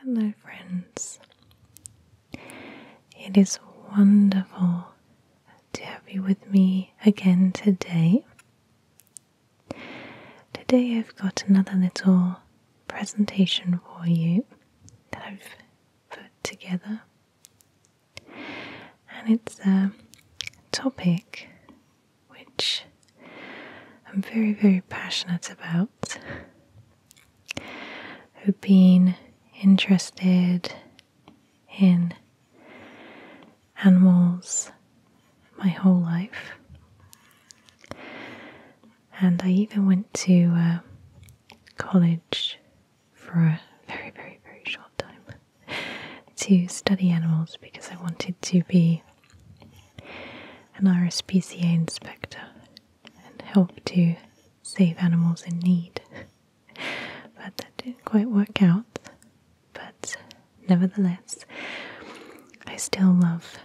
Hello, friends. It is wonderful to have you with me again today. Today, I've got another little presentation for you that I've put together, and it's a topic which I'm very, very passionate about i have been interested in animals my whole life. And I even went to uh, college for a very, very, very short time to study animals because I wanted to be an RSPCA inspector and help to save animals in need. but that didn't quite work out. But nevertheless, I still love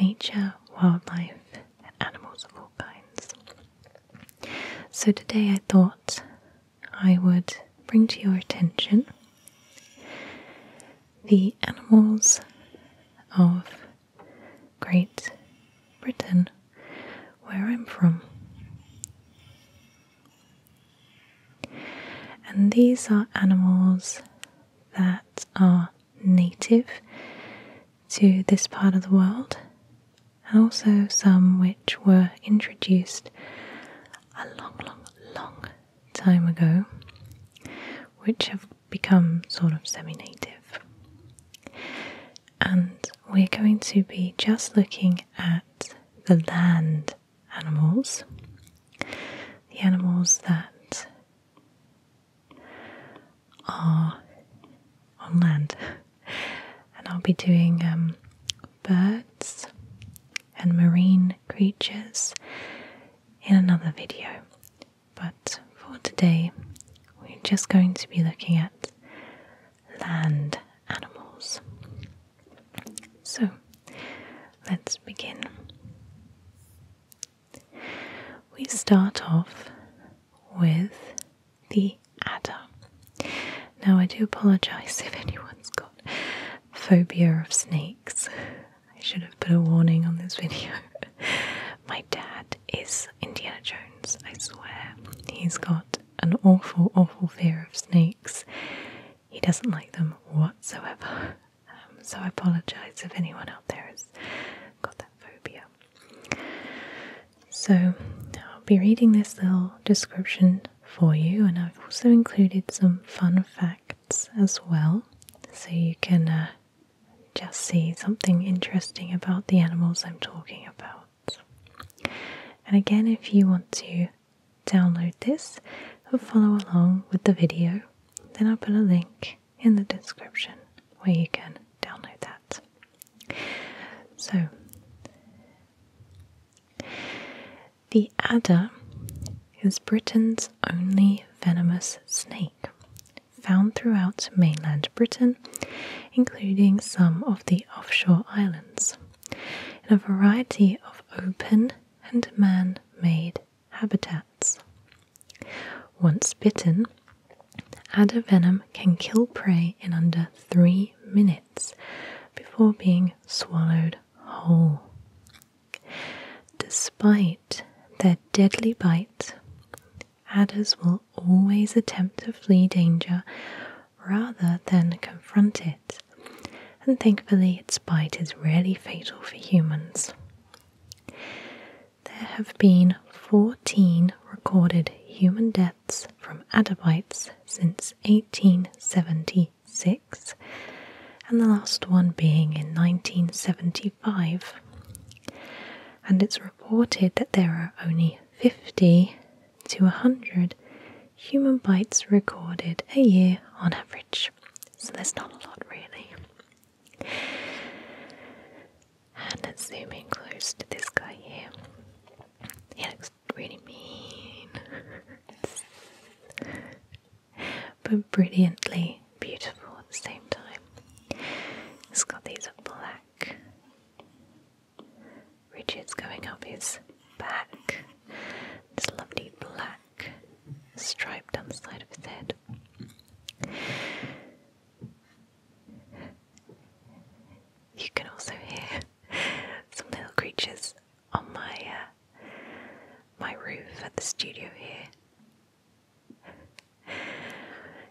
nature, wildlife, and animals of all kinds. So today I thought I would bring to your attention the animals of Great Britain, where I'm from. And these are animals that are native to this part of the world, and also some which were introduced a long, long, long time ago, which have become sort of semi native. And we're going to be just looking at the land animals, the animals that are on land. And I'll be doing um, birds and marine creatures in another video. But for today, we're just going to be looking at land animals. So let's begin. We start off with the adder. Now, I do apologize if anyone's got phobia of snakes. I should have put a warning on this video. My dad is Indiana Jones, I swear. He's got an awful, awful fear of snakes. He doesn't like them whatsoever. Um, so I apologise if anyone out there has got that phobia. So I'll be reading this little description for you, and I've also included some fun facts as well, so you can uh, just see something interesting about the animals I'm talking about. And again, if you want to download this or follow along with the video, then I'll put a link in the description where you can download that. So, the adder is Britain's only venomous snake, found throughout mainland Britain, including some of the offshore islands, in a variety of open and man made habitats. Once bitten, adder venom can kill prey in under three minutes before being swallowed whole. Despite their deadly bite, adders will always attempt to flee danger rather than confront it, and thankfully, its bite is rarely fatal for humans. There have been 14 recorded human deaths from adder bites since 1876, and the last one being in 1970. 1995, and it's reported that there are only 50 to 100 human bites recorded a year on average. So there's not a lot really. And let close to this guy here. He looks really mean but brilliantly beautiful at the same time. It's got these black ridges going up his back, this lovely black stripe down the side of his head. You can also hear some little creatures on my uh, my roof at the studio here.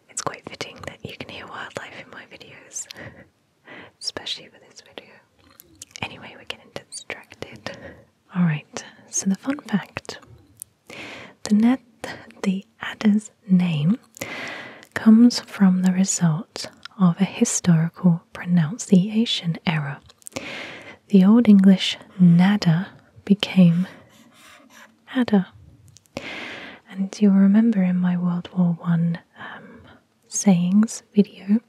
It's quite fitting that you can hear wildlife in my videos, especially for this video. Anyway, we're getting distracted. Alright, so the fun fact the net, the adder's name comes from the result of a historical pronunciation error. The Old English nada became Ada. And you'll remember in my World War One um, sayings video,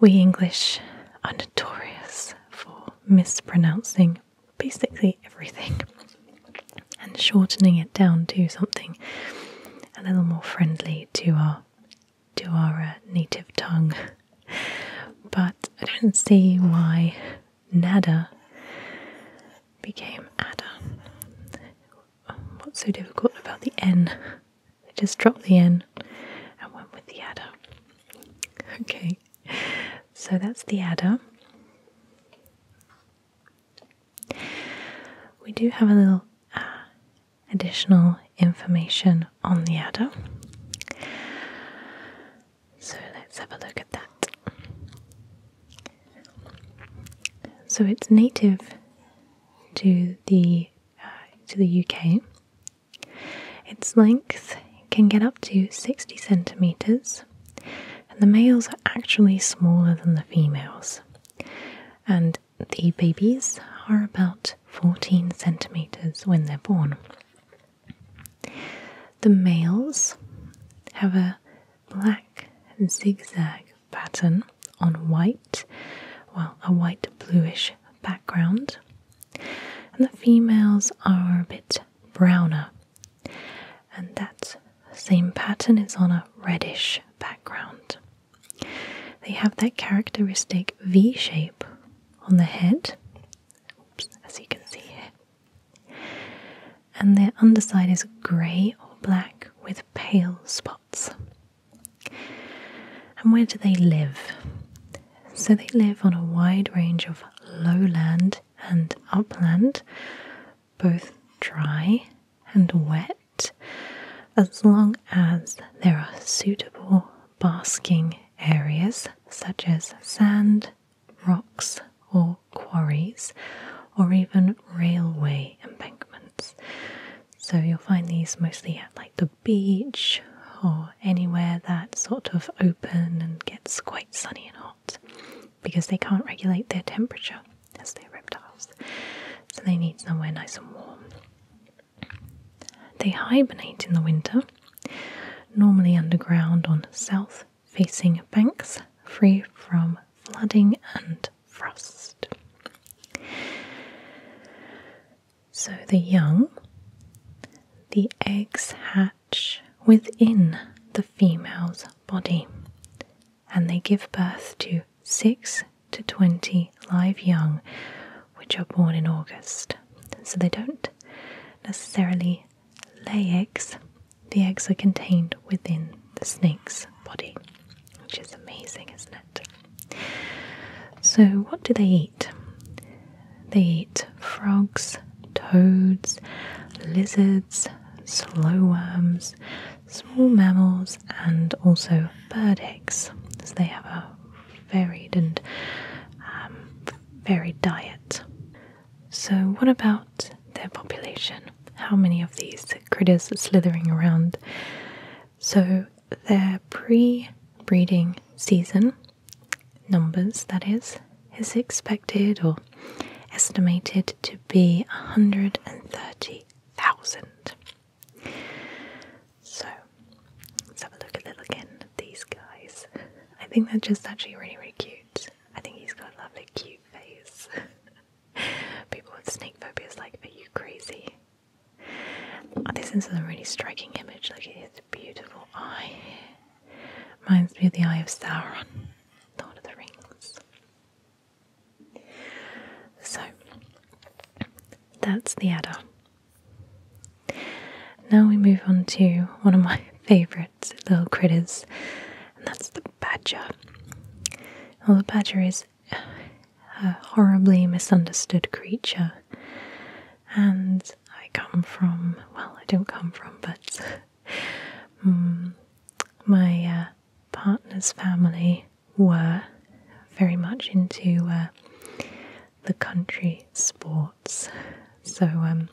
we English are notorious for mispronouncing basically everything and shortening it down to something a little more friendly to our to our uh, native tongue. But I don't see why Nada became Ada. What's so difficult about the N? They just dropped the N and went with the Adder. Okay, so that's the Adder. We do have a little uh, additional information on the Adder. So let's have a look at that. So it's native to the uh, to the UK. Its length can get up to 60 centimeters, and the males are actually smaller than the females. And the babies are about 14 centimeters when they're born. The males have a black zigzag pattern on white, well, a white bluish background, and the females are a bit browner, and that same pattern is on a reddish background. They have that characteristic V shape on the head, as you can see here, and their underside is grey or black with pale spots. And where do they live? So they live on a wide range of lowland and upland, both dry and wet, as long as there are suitable basking areas such as sand, rocks or quarries, or even railway embankments. So you'll find these mostly at like the beach or anywhere that's sort of open and gets quite sunny and hot because they can't regulate their temperature as they're reptiles. So they need somewhere nice and warm. They hibernate in the winter normally underground on south facing banks, free from flooding and frost. So the young, the eggs hatch within the female's body and they give birth to 6 to 20 live young, which are born in August. So they don't necessarily lay eggs, the eggs are contained within the snake's body, which is amazing, isn't it? So, what do they eat? They eat frogs, toads, lizards, slow worms, small mammals, and also bird eggs. So, they have a varied and um, varied diet. So, what about their population? How many of these critters slithering around? So, their pre breeding season numbers, that is, is expected or estimated to be 130,000. So, let's have a look a little again at these guys. I think they're just actually really, really cute. I think he's got a lovely, cute face. People with snake phobias, like, are you crazy? Oh, this is a really striking image. Like, at his beautiful eye. Reminds me of the Eye of Sauron, Lord of the Rings. So that's the adder. Now we move on to one of my favourite little critters, and that's the badger. Well, the badger is a horribly misunderstood creature, and I come from, well, I don't come from, but mm, my uh, partner's family were very much into uh, the country sport. So um,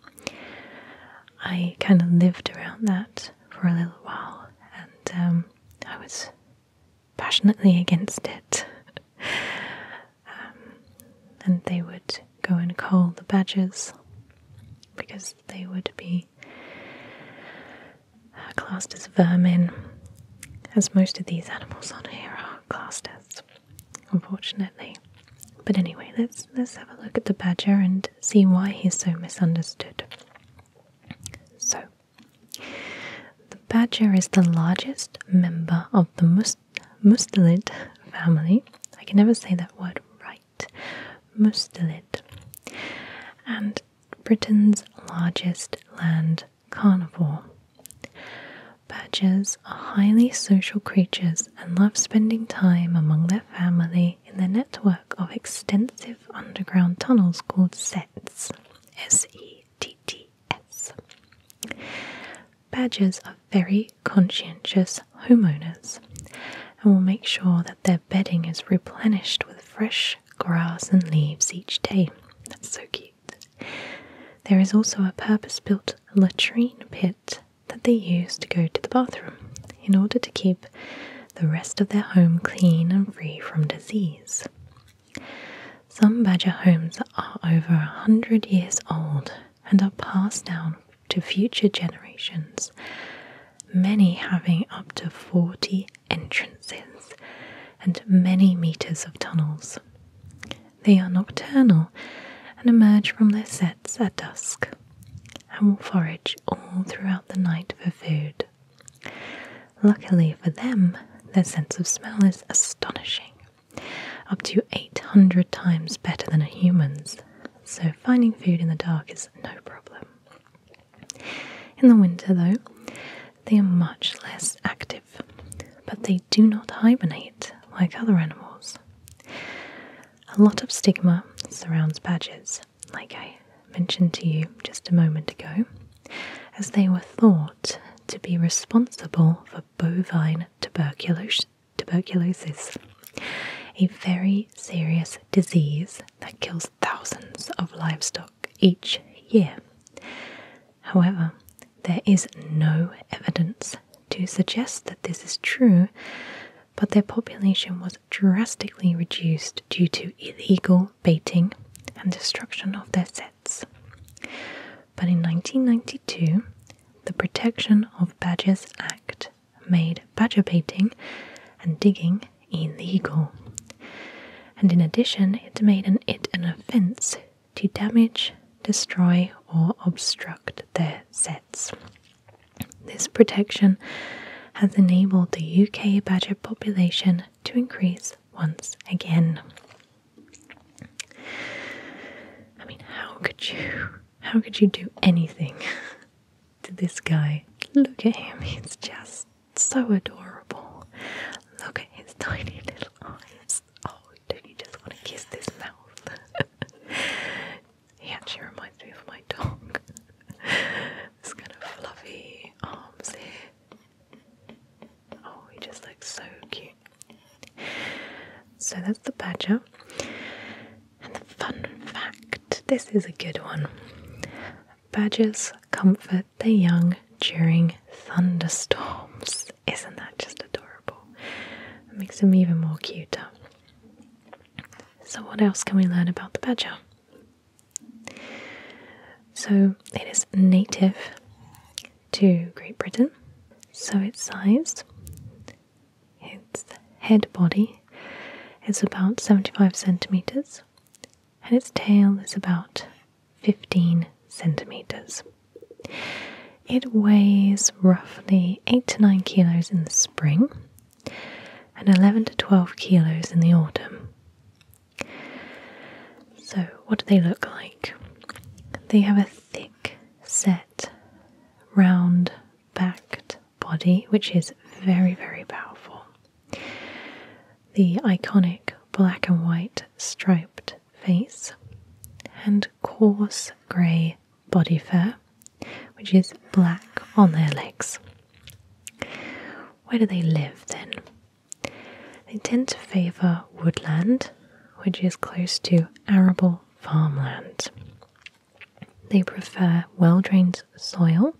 I kind of lived around that for a little while, and um, I was passionately against it. Um, and they would go and call the badgers because they would be classed as vermin, as most of these animals on here are classed as unfortunately. But anyway, let's let's have a look at the badger and see why he's so misunderstood. So, the badger is the largest member of the mustelid family. I can never say that word right. Mustelid. And Britain's largest land carnivore. Badgers are highly social creatures and love spending time among their family in the network of extensive underground tunnels called sets. S E T T S. Badgers are very conscientious homeowners and will make sure that their bedding is replenished with fresh grass and leaves each day. That's so cute. There is also a purpose built latrine pit that they use to go to the bathroom in order to keep the rest of their home clean and free from disease. Some badger homes are over a hundred years old and are passed down to future generations, many having up to 40 entrances and many meters of tunnels. They are nocturnal and emerge from their sets at dusk and will forage all throughout the night for food. Luckily for them, their sense of smell is astonishing, up to 800 times better than a human's, so finding food in the dark is no problem. In the winter, though, they are much less active, but they do not hibernate like other animals. A lot of stigma surrounds badges, like I mentioned to you just a moment ago, as they were thought to be responsible for bovine tuberculosis, a very serious disease that kills thousands of livestock each year. However, there is no evidence to suggest that this is true, but their population was drastically reduced due to illegal baiting and destruction of their sets. But in 1992, the Protection of Badgers Act made badger baiting and digging illegal. And in addition, it made it an offence to damage, destroy, or obstruct their sets. This protection has enabled the UK badger population to increase once again. I mean, how could you? How could you do anything to this guy? Look at him, he's just so adorable. Look at his tiny little eyes oh, don't you just want to kiss this mouth? he actually reminds me of my dog. this kind of fluffy arms here. Oh, he just looks so cute. So that's the badger. And the fun fact this is a good one. Badgers comfort the young during thunderstorms. Isn't that just adorable? It makes them even more cuter. So, what else can we learn about the badger? So, it is native to Great Britain, so its size, its head body is about 75 centimeters, and its tail is about 15 centimeters. It weighs roughly 8 to 9 kilos in the spring and 11 to 12 kilos in the autumn. So, what do they look like? They have a thick set, round backed body, which is very, very powerful. The iconic black and white striped face and coarse grey body fur, which is black on their legs. Where do they live then? They tend to favour woodland, which is close to arable farmland. They prefer well drained soil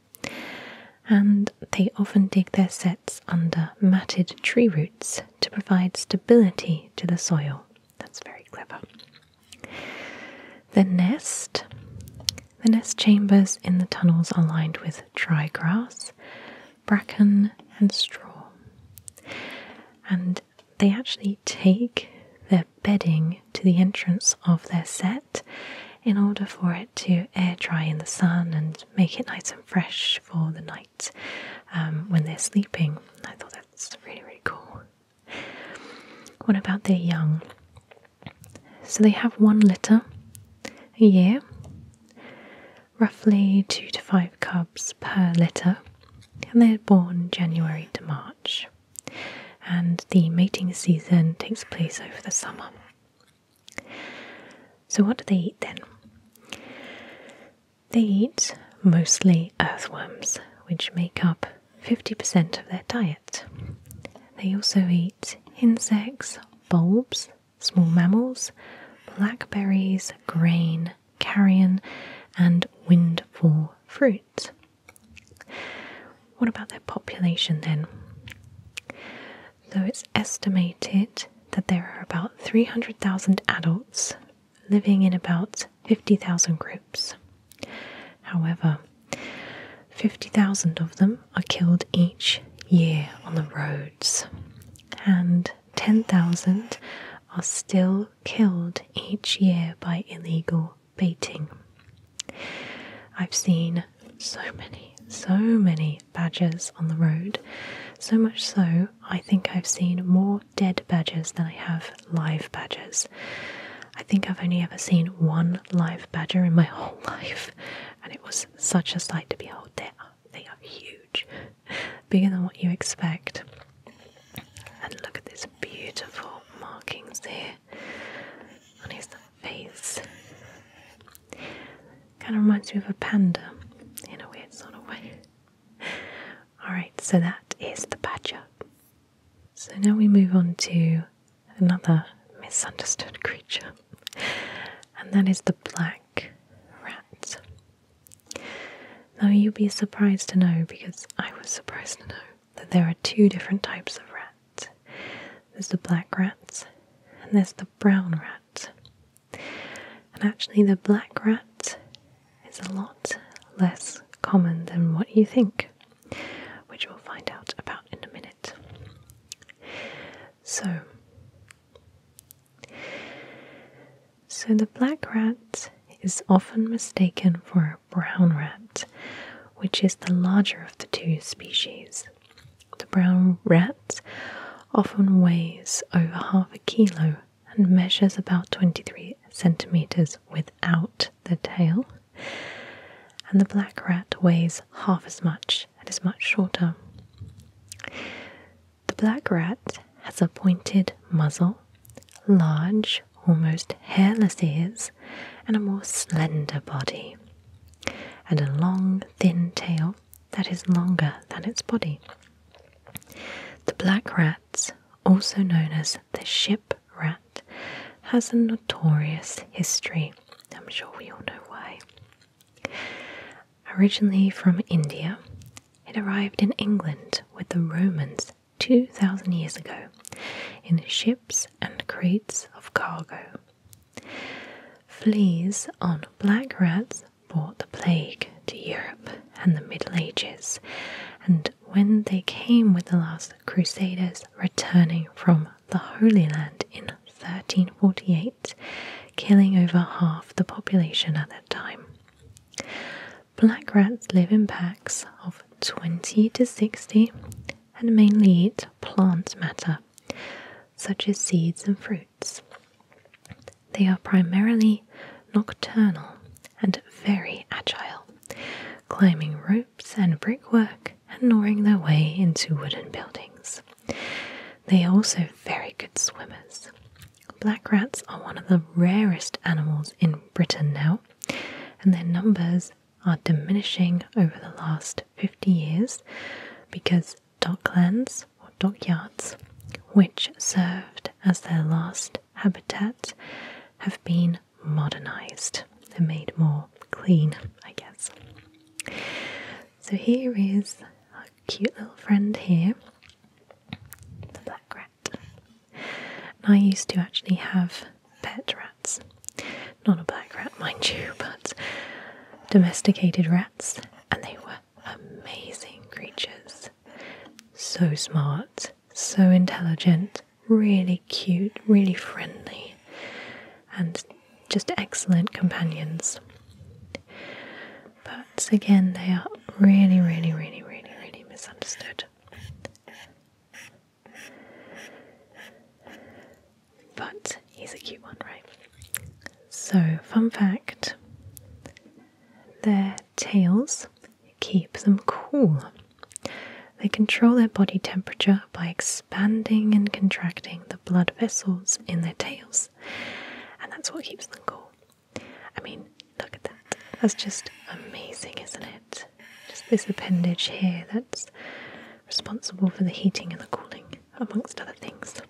and they often dig their sets under matted tree roots to provide stability to the soil that's very clever. The nest. The nest chambers in the tunnels are lined with dry grass, bracken, and straw. And they actually take their bedding to the entrance of their set in order for it to air dry in the sun and make it nice and fresh for the night. Um, when they're sleeping. I thought that's really, really cool. What about their young? So they have one litter a year, roughly two to five cubs per litter, and they're born January to March. And the mating season takes place over the summer. So, what do they eat then? They eat mostly earthworms, which make up 50% of their diet. They also eat insects, bulbs, small mammals, blackberries, grain, carrion, and windfall fruit. What about their population then? Though it's estimated that there are about 300,000 adults living in about 50,000 groups. However, 50,000 of them are killed each year on the roads, and 10,000 are still killed each year by illegal baiting. I've seen so many, so many badgers on the road, so much so I think I've seen more dead badgers than I have live badgers. I think I've only ever seen one live badger in my whole life, and it was such a sight to behold. They are, huge, bigger than what you expect. And look at these beautiful markings here on his face. Kind of reminds me of a panda in a weird sort of way. Alright, so that is the badger. So now we move on to another misunderstood creature, and that is the black rat. Now you would be surprised to know, because I was surprised to know, that there are two different types of rats. There's the black rat and there's the brown rat. And actually, the black rat is a lot less common than what you think, which we'll find out about in a minute. So, so the black rat is often mistaken for a brown rat, which is the larger of the two species. The brown rat often weighs over half a kilo and measures about 23 centimeters without the tail. And the black rat weighs half as much and is much shorter. The black rat has a pointed muzzle, large, almost hairless ears, and a more slender body, and a long, thin tail that is longer than its body. The black rat's also known as the ship rat, has a notorious history. I'm sure we all know why. Originally from India, it arrived in England with the Romans 2,000 years ago in ships and crates of cargo. Fleas on black rats brought the plague to Europe and the Middle Ages, and when they came with the last Crusaders returning from the Holy Land in 1348, killing over half the population at that time. Black rats live in packs of 20 to 60 and mainly eat plant matter, such as seeds and fruits they are primarily nocturnal and very agile, climbing ropes and brickwork and gnawing their way into wooden buildings. They are also very good swimmers. Black rats are one of the rarest animals in Britain now, and their numbers are diminishing over the last 50 years because docklands dockyards, which served as their last habitat, have been modernized. They're made more clean, I guess. So here is our cute little friend here, the black rat. I used to actually have pet rats. Not a black rat, mind you, but domesticated rats, and they were amazing creatures. So smart, so intelligent, really cute, really friendly, and just excellent companions. But again, they are really, really, really, really, really misunderstood. But he's a cute one, right? So, fun fact their tails keep them cool. They control their body temperature by expanding and contracting the blood vessels in their tails, and that's what keeps them cool. I mean, look at that. That's just amazing, isn't it? Just this appendage here that's responsible for the heating and the cooling, amongst other things.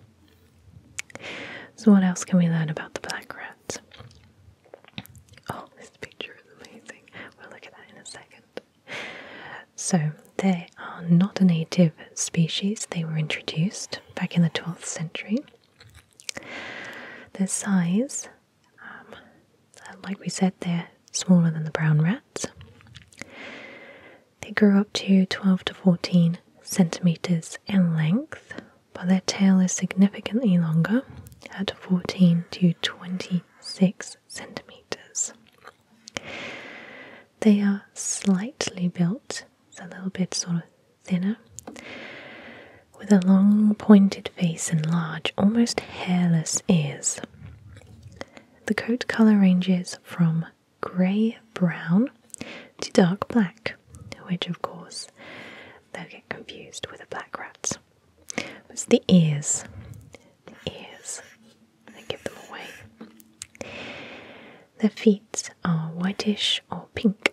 So, what else can we learn about the black rat? Oh, this picture is amazing. We'll look at that in a second. So, they are not a native species, they were introduced back in the 12th century. Their size, um, like we said, they're smaller than the brown rats. They grow up to 12 to 14 centimeters in length, but their tail is significantly longer at 14 to 26 centimeters. They are slightly built, so a little bit sort of thinner, with a long pointed face and large, almost hairless ears. The coat color ranges from grey brown to dark black, which of course they'll get confused with a black rat. it's the ears. The ears. They give them away. Their feet are whitish or pink.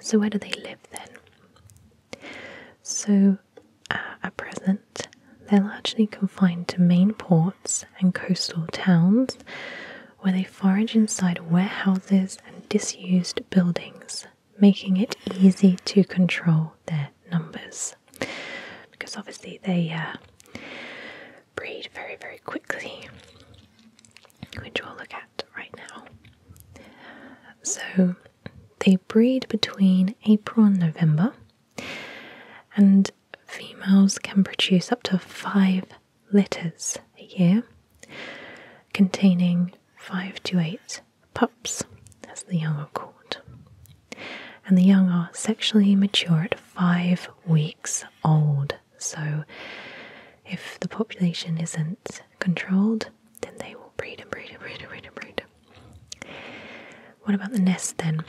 So, where do they live then? So, uh, at present, they're largely confined to main ports and coastal towns, where they forage inside warehouses and disused buildings, making it easy to control their numbers. Because obviously they uh, breed very, very quickly, which we'll look at right now. So they breed between April and November, and females can produce up to five litters a year, containing five to eight pups, as the young are called. And the young are sexually mature at five weeks old. So, if the population isn't controlled, then they will breed and breed and breed and breed and breed. What about the nest then?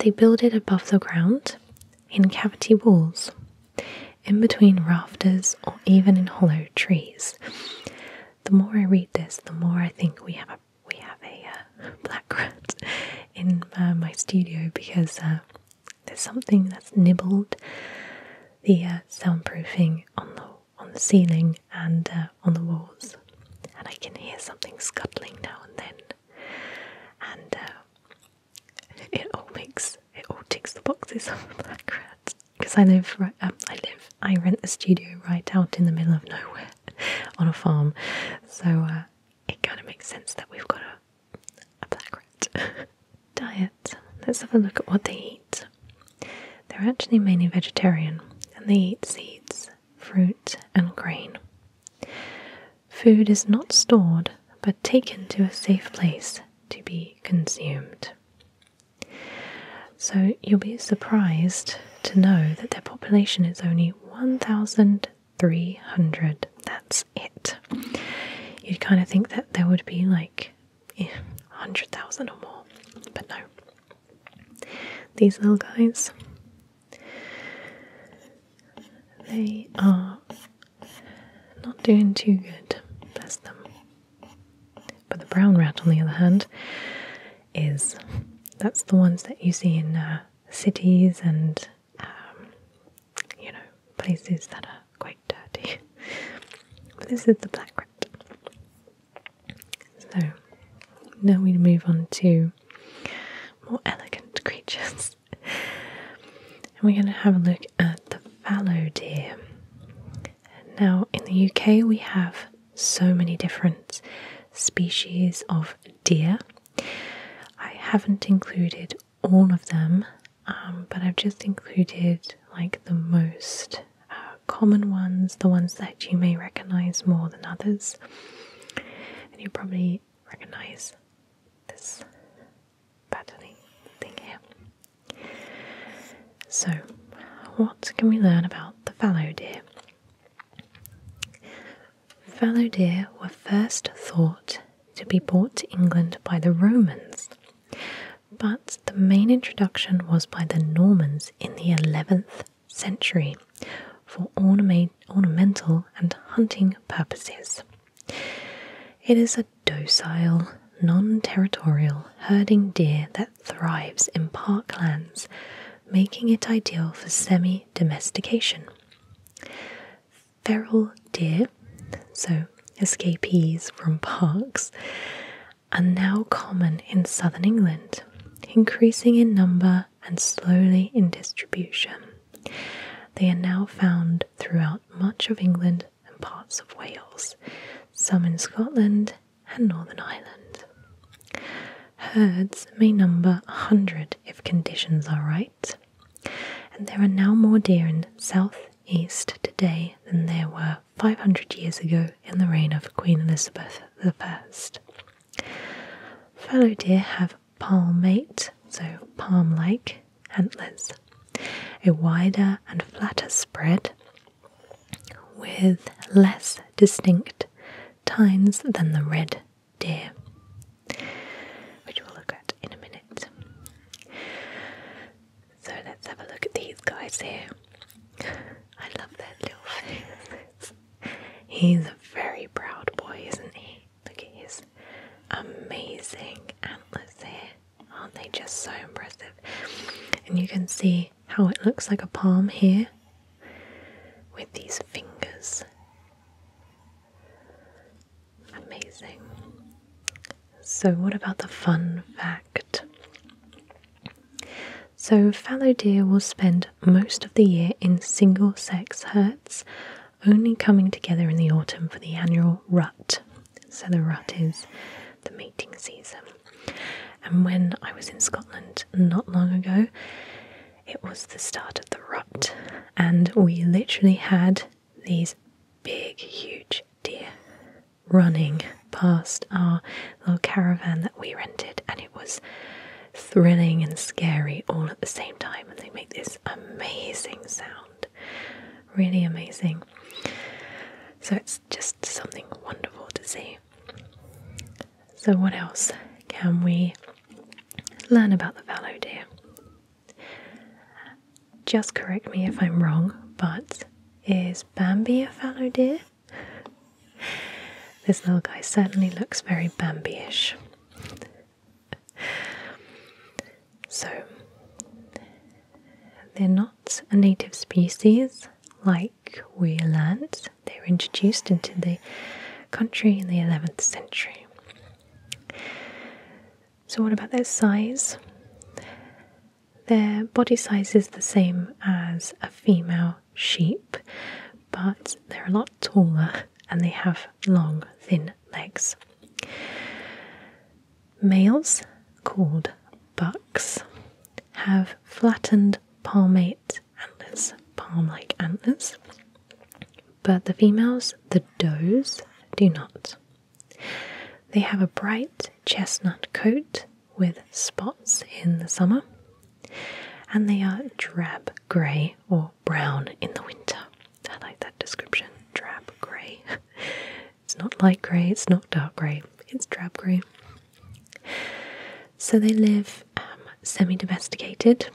They build it above the ground in cavity walls in between rafters, or even in hollow trees. The more I read this, the more I think we have a we have a uh, black rat in uh, my studio because uh, there's something that's nibbled the soundproofing on the on the ceiling and on the walls, and I can hear something scuttling now and then. And it all makes it all ticks the boxes of Black Rat because I live right, um, I live I rent a studio right out in the middle of nowhere on a farm, so uh, it kind of makes sense that we've got a a black rat diet. Let's have a look at what they eat. They're actually mainly vegetarian, and they eat seeds, fruit, and grain. Food is not stored but taken to a safe place to be consumed. So you'll be surprised to know that their population is only 1,300. That's it. You'd kind of think that there would be like yeah, 100,000 or more, but no. These little guys, they are not doing too good, bless them. But the brown rat, on the other hand, is that's the ones that you see in uh, cities and um, you know places that are quite dirty. this is the black rat. So now we move on to more elegant creatures. And we're going to have a look at the fallow deer. Now, in the UK, we have so many different species of deer. I haven't included all of them, um, but I've just included like the most uh, common ones, the ones that you may recognize more than others. And you probably recognize this patterning thing here. So, what can we learn about the fallow deer? Fallow deer were first thought to be brought to England by the Romans, but the main introduction was by the Normans in the 11th century for ornamental and hunting purposes. It is a docile, non territorial herding deer that thrives in parklands, making it ideal for semi domestication. Feral deer, so escapees from parks, are now common in southern England, increasing in number and slowly in distribution. They are now found throughout much of England and parts of Wales, some in Scotland and Northern Ireland. Herds may number a hundred if conditions are right, and there are now more deer in South East today than there were 500 years ago in the reign of Queen Elizabeth I. Fallow deer have palmate, so palm like antlers, a wider and flatter spread with less distinct tines than the red deer, which we'll look at in a minute. So let's have a look at these guys here. I love their little faces. He's a very proud boy, isn't he? Look at his amazing antlers here. Aren't they just so impressive? And you can see how it looks like a palm here with these fingers. Amazing. So, what about the fun fact? So, fallow deer will spend most of the year in single sex herds, only coming together in the autumn for the annual rut. So the rut is the mating season. And when I was in Scotland not long ago, it was the start of the rut, and we literally had these big, huge deer running past our little caravan that we rented, and it was thrilling and scary all at the same time. And they make this amazing sound Really amazing. So it's just something wonderful to see. So, what else can we learn about the fallow deer? Just correct me if I'm wrong, but is Bambi a fallow deer? This little guy certainly looks very Bambi ish so, they're not a native species like weir lands. They were introduced into the country in the 11th century. So, what about their size? Their body size is the same as a female sheep, but they're a lot taller and they have long, thin legs. Males, called bucks, have flattened palmate antlers, palm like antlers, but the females, the does, do not. They have a bright chestnut coat with spots in the summer, and they are drab grey or brown in the winter. I like that description. Drab grey. it's not light grey, it's not dark grey, it's drab grey. So they live um, semi domesticated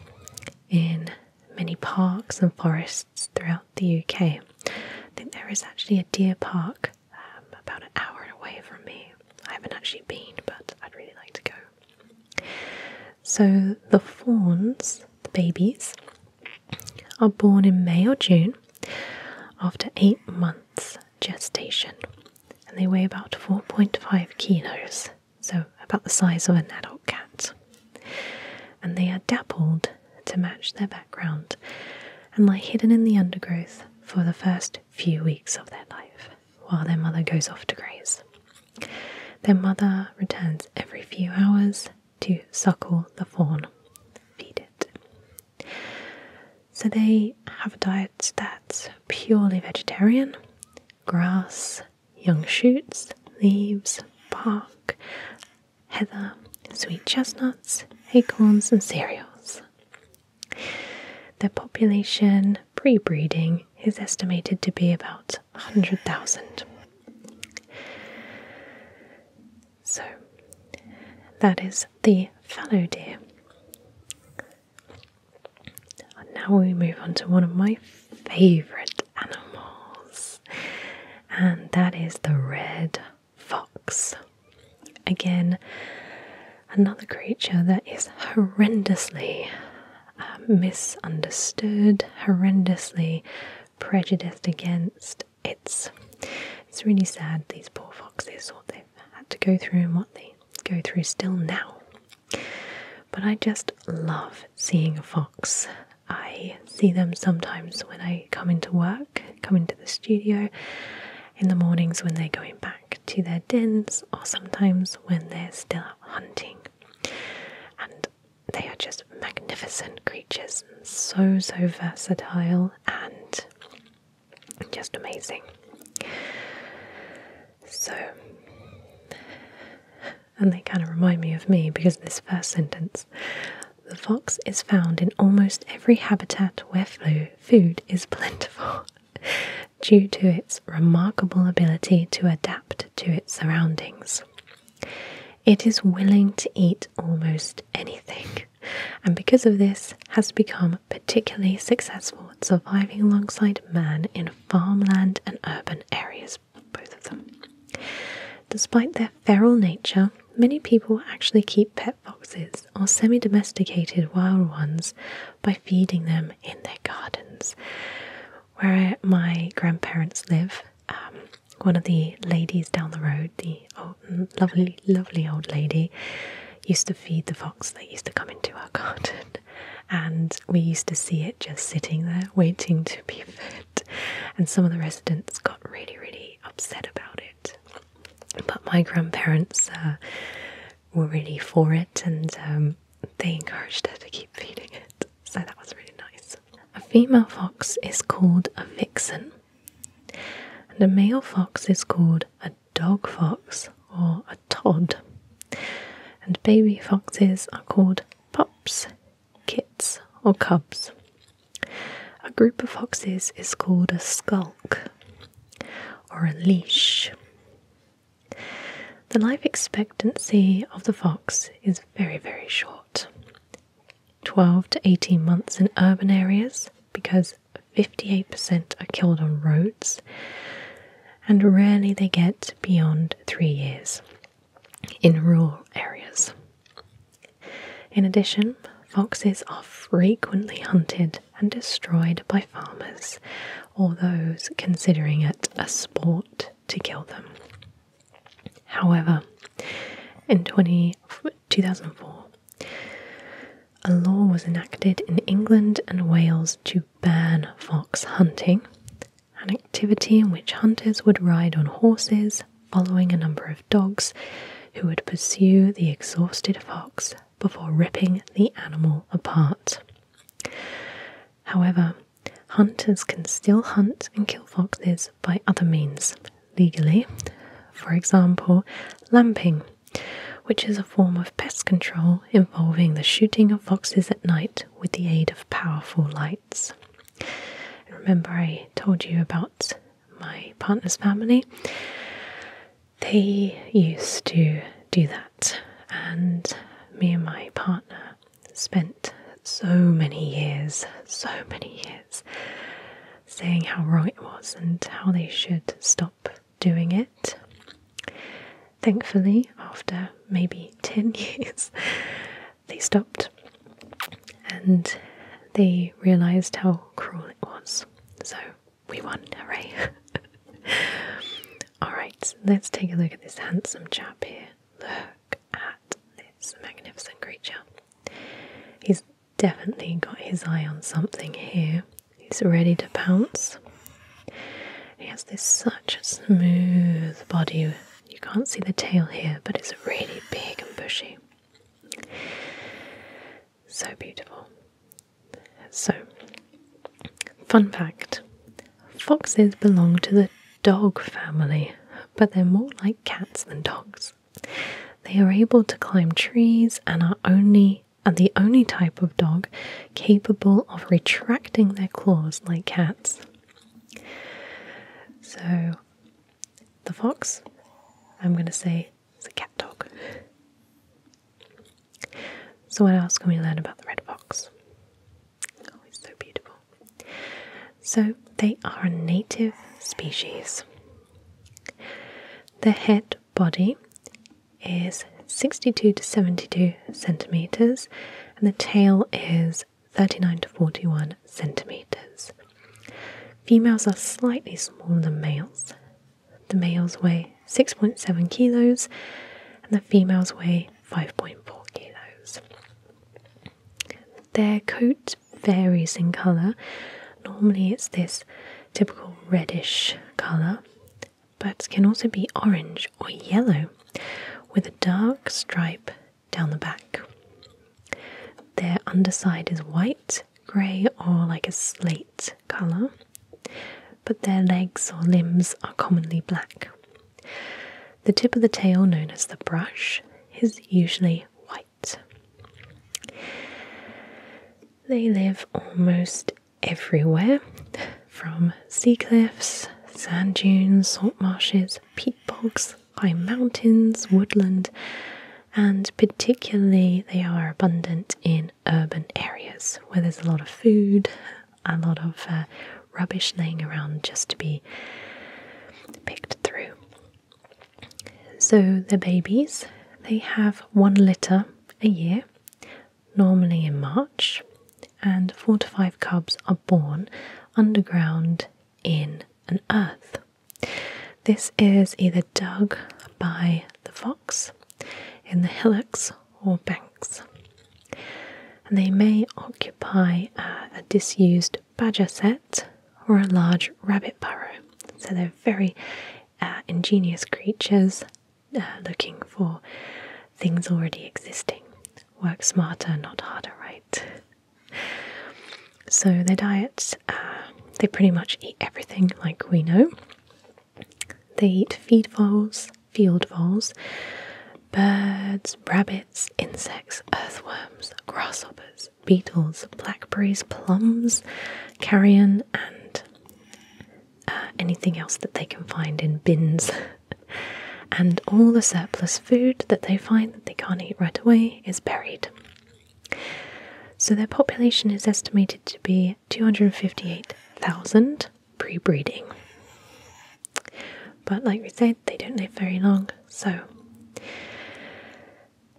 in many parks and forests throughout the UK. I think there is actually a deer park um, about an hour away from me. I haven't actually been, but I'd really like to go. So the fawns, the babies, are born in May or June after eight months gestation, and they weigh about 4.5 kilos, so about the size of an adult cat. And they are dappled to match their background and lie hidden in the undergrowth for the first few weeks of their life while their mother goes off to graze. Their mother returns every few hours to suckle the fawn, feed it. So they have a diet that's purely vegetarian grass, young shoots, leaves, bark, heather, sweet chestnuts, acorns, and cereals. Their population pre breeding is estimated to be about 100,000. So that is the fallow deer. And now we move on to one of my favourite animals, and that is the red fox. Again, another creature that is horrendously uh, misunderstood, horrendously prejudiced against. It's it's really sad these poor foxes what they've had to go through and what they go through still now. But I just love seeing a fox. I see them sometimes when I come into work, come into the studio, in the mornings when they're going back to their dens, or sometimes when they're still hunting they are just magnificent creatures, so so versatile and just amazing. So, and they kind of remind me of me because this first sentence the fox is found in almost every habitat where food is plentiful due to its remarkable ability to adapt to its surroundings. It is willing to eat almost anything, and because of this, has become particularly successful at surviving alongside man in farmland and urban areas, both of them. Despite their feral nature, many people actually keep pet foxes or semi domesticated wild ones by feeding them in their gardens. Where my grandparents live, um, one of the ladies down the road, the lovely, lovely old lady, used to feed the fox that used to come into our garden. And we used to see it just sitting there waiting to be fed. And some of the residents got really, really upset about it. But my grandparents uh, were really for it and um, they encouraged us to keep feeding it so that was really nice. A female fox is called a vixen, and a male fox is called a dog fox or a tod. And baby foxes are called pups, kits, or cubs. A group of foxes is called a skulk or a leash. The life expectancy of the fox is very, very short 12 to 18 months in urban areas because 58% are killed on roads, and rarely they get beyond three years in rural areas. In addition, foxes are frequently hunted and destroyed by farmers or those considering it a sport to kill them. However, in 2004, a law was enacted in England and Wales to ban fox hunting, an activity in which hunters would ride on horses following a number of dogs who would pursue the exhausted fox before ripping the animal apart. However, Hunters can still hunt and kill foxes by other means, legally, for example, lamping, which is a form of pest control involving the shooting of foxes at night with the aid of powerful lights. remember, I told you about my partner's family. They used to do that, and me and my partner spent so many years, so many years saying how wrong it was and how they should stop doing it. Thankfully, after maybe 10 years, they stopped and they realised how cruel it was. So we won, hooray! Alright, let's take a look at this handsome chap here. Look at this magnificent creature. He's definitely got his eye on something here. He's ready to pounce. He has this such a smooth body. You can't see the tail here, but it's really big and bushy. So beautiful. So, fun fact foxes belong to the dog family, but they're more like cats than dogs. They are able to climb trees and are only and the only type of dog capable of retracting their claws like cats. So the fox, I'm going to say, is a cat dog. So what else can we learn about the red fox? Oh, it's so beautiful. So they are a native species. The head body is 62 to 72 centimeters, and the tail is 39 to 41 centimeters. Females are slightly smaller than males. The males weigh 6.7 kilos, and the females weigh 5.4 kilos. Their coat varies in colour. Normally, it's this typical reddish colour, but can also be orange or yellow with a dark stripe down the back. Their underside is white, grey, or like a slate colour, but their legs or limbs are commonly black. The tip of the tail, known as the brush, is usually white. They live almost everywhere from sea cliffs, sand dunes, salt marshes, peat bogs, high mountains, woodland, and particularly they are abundant in urban areas where there's a lot of food a lot of uh, rubbish laying around just to be picked through. So the babies, they have one litter a year, normally in March, and four to five cubs are born underground in an earth. This is either dug by the fox in the hillocks or banks and they may occupy a disused badger set or a large rabbit burrow. So they're very uh, ingenious creatures uh, looking for things already existing. Work smarter, not harder, right? So their diet uh, they pretty much eat everything like we know. They eat feed voles, field voles, birds, rabbits, insects, earthworms, grasshoppers, beetles, blackberries, plums, carrion, and uh, anything else that they can find in bins. and all the surplus food that they find that they can't eat right away is buried. So their population is estimated to be 258,000 pre breeding. But like we said, they don't live very long, so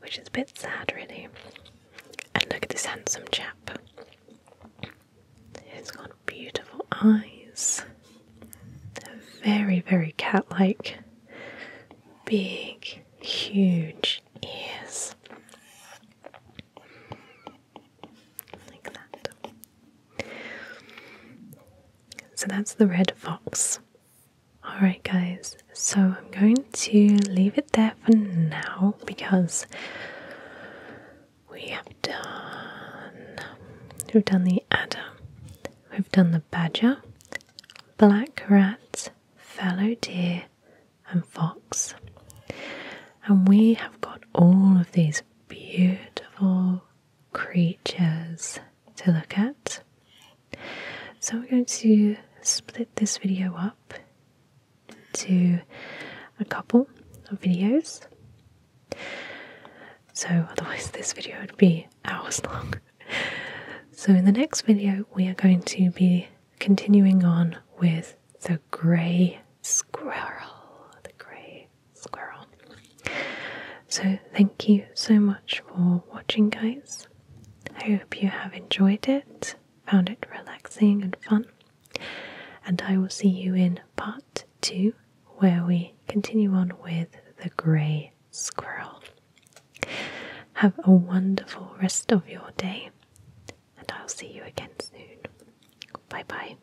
which is a bit sad, really. And look at this handsome chap. He's got beautiful eyes. very, very cat like. Big, huge ears. Like that. So that's the red fox. Alright, guys, so I'm going to leave it there for now because we have done. We've done the adder, we've done the badger, black rat, fallow deer, and fox. And we have got all of these beautiful creatures to look at. So we're going to split this video up into a couple of videos. So otherwise this video would be hours long. so in the next video we are going to be continuing on with the grey squirrel. The grey squirrel. So, thank you so much for watching, guys. I hope you have enjoyed it, found it relaxing and fun. And I will see you in part two, where we continue on with the grey squirrel. Have a wonderful rest of your day, and I'll see you again soon. Bye bye.